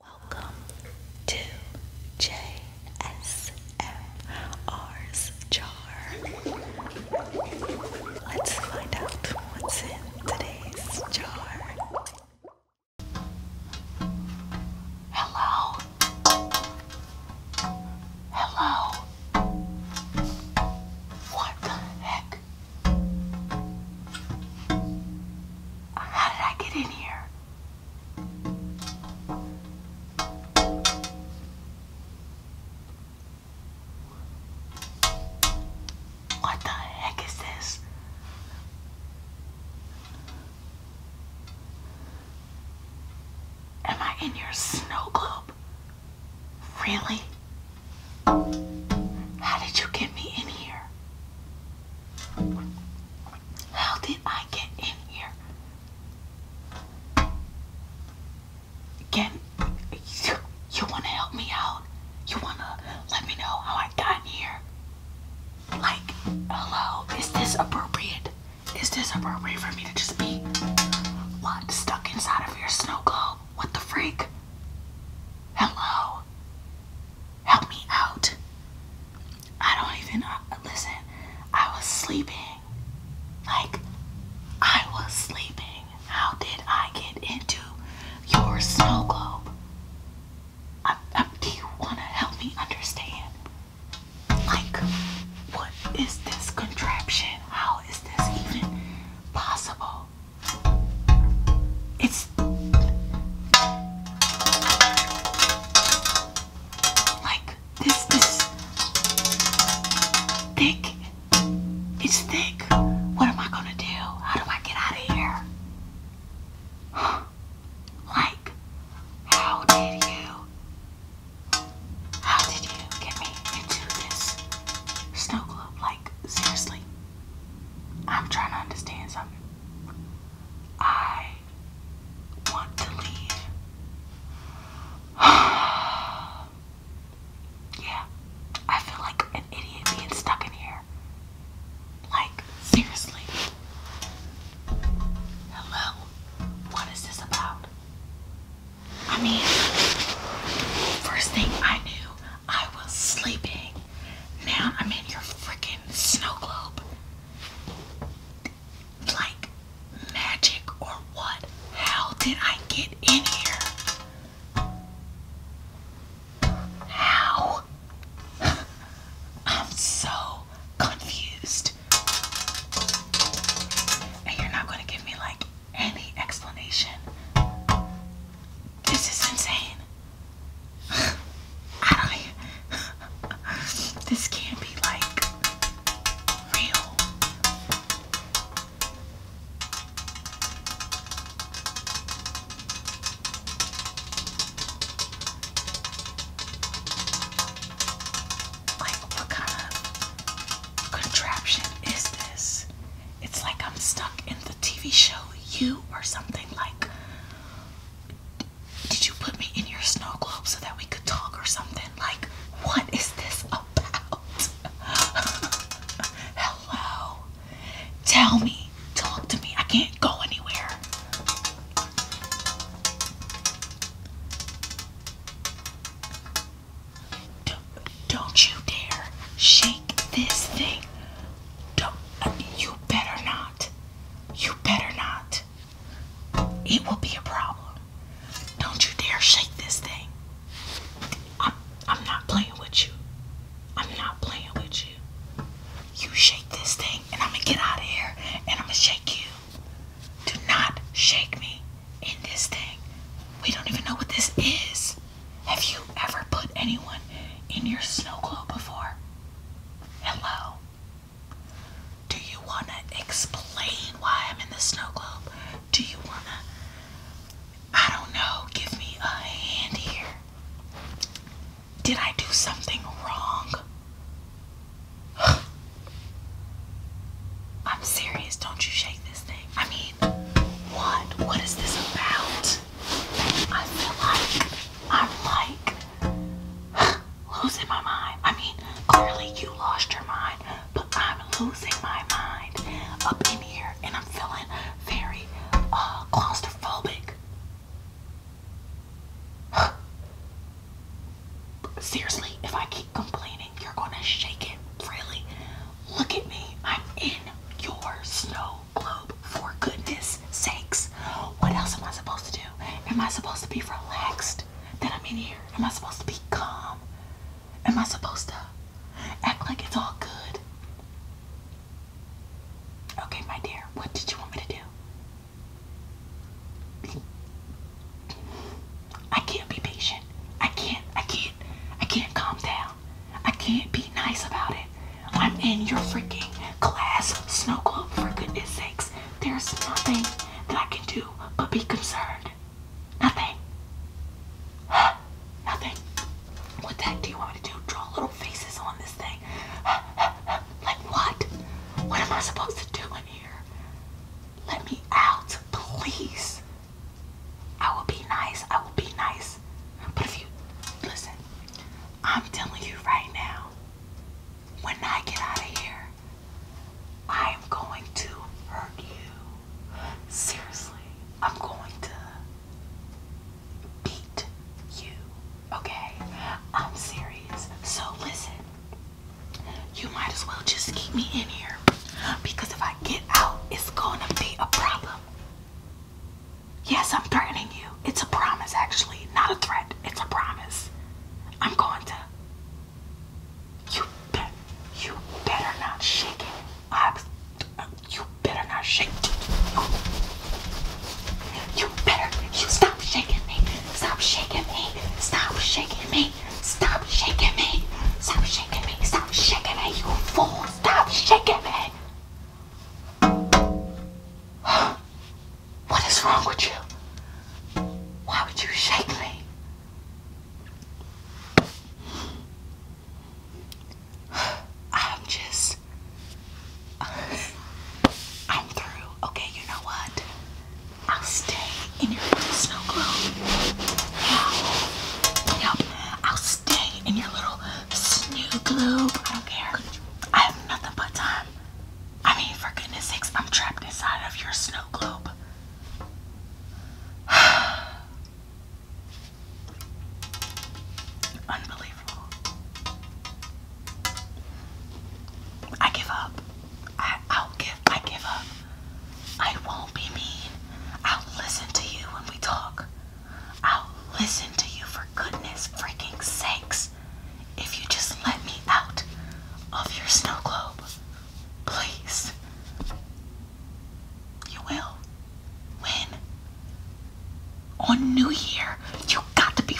Welcome to JSMR's jar. Let's find out what's in today's jar. Hello. Hello. What the heck? How did I get in here? What the heck is this? Am I in your snow globe? Really? How did you get me in here? How did I get in here? Can you, you want to help me out? You want to let me know how I got here? Like, hello, is this appropriate? Is this appropriate for me to just be what stuck inside of your snow globe? What the freak? Hello? help me out. I don't even uh, listen. I was sleeping. Like, I was sleeping. How did I get into your snow globe? I, I, do you want to help me understand? Like, what is this contraption? How is this even possible? It's like this, this thick. It's thick. What am I gonna do? How do I get out of here? like, how did you? How did you get me into this snow globe? Like, seriously. I'm trying to understand something. I want to leave. yeah, I feel like an idiot being stuck in here. Like, seriously. Hello? What is this about? I mean, first thing I knew, I was sleeping. Now I'm in your freaking snow globe. Like magic or what? How did I get in here? How? I'm so confused. And you're not going to give me like any explanation. This is insane. I don't. This can't be like real. Like, what kind of contraption is this? it's like I'm stuck in the TV show You or something like. Did you put me in your snow globe so that we could talk or something? Like, what is this about? Hello. Tell me. Talk to me. I can't go anywhere. Don't, you dare shake this thing. Don't, uh, you better not. You better not. It will be a problem. Don't you dare shake this thing. I'm, I'm not playing with you. I'm not playing with you. You shake this thing, and I'm gonna get out of here, and I'm gonna shake you. Do not shake me in this thing. We don't even know what this is. Have you ever put anyone in your snow globe before? Hello. Do you want to explain why I'm in the snow globe? Do you want to, I don't know, give me a hand here? Did I do something wrong? I'm serious. Don't you shake this thing. I mean, what? What is this about? I feel like I'm like losing my mind. I mean, clearly you lost your mind, but I'm losing my mind up in here and I'm feeling very uh, claustrophobic. Seriously, if I keep complaining, you're gonna shake it really. Look at me, I'm in your snow globe for goodness sakes. What else am I supposed to do? Am I supposed to be relaxed that I'm in here? Am I supposed to be calm? Am I supposed to act like it's all good? Okay, my dear, what did you want me to do? I can't be patient. I can't, I can't, I can't calm down. I can't be nice about it. I'm in your freaking class snow globe for goodness sakes. There's nothing that I can do but be concerned. Nothing. nothing. What the heck do you want me to do? Draw little faces on this thing. like what? What am I supposed to do in here? Let me out, please. I will be nice. I will be nice. But if you listen, I'm telling you right now, when I get out of here, I am going to hurt you. Seriously, I'm going to beat you. Okay? I'm serious. So listen you might as well just keep me in here because if I get out, it's gonna be a problem. Yes, I'm threatening you. It's a promise, actually, not a threat. It's a promise. I'm going to. You bet. You better not shake it. I, am you better not shake it. You better. You stop shaking me. Stop shaking me. Stop shaking me. Stop shaking me. Stop shaking me. Stop shaking me, you fool. Stop shaking me. What is wrong with you? Why would you shake me? I'm just. I'm through. Okay, you know what? I'll stay in your little snow globe. Yeah. Yep. I'll stay in your little snow globe. I don't care. I have nothing but time. I mean, for goodness sakes, I'm trapped inside of your snow globe. Unbelievable. I give up. I, will give. I give up. I won't be mean. I'll listen to you when we talk. I'll listen to you for goodness freaking sakes. If you just let me out of your snow globe, please. You will. When? On New Year, you got to be.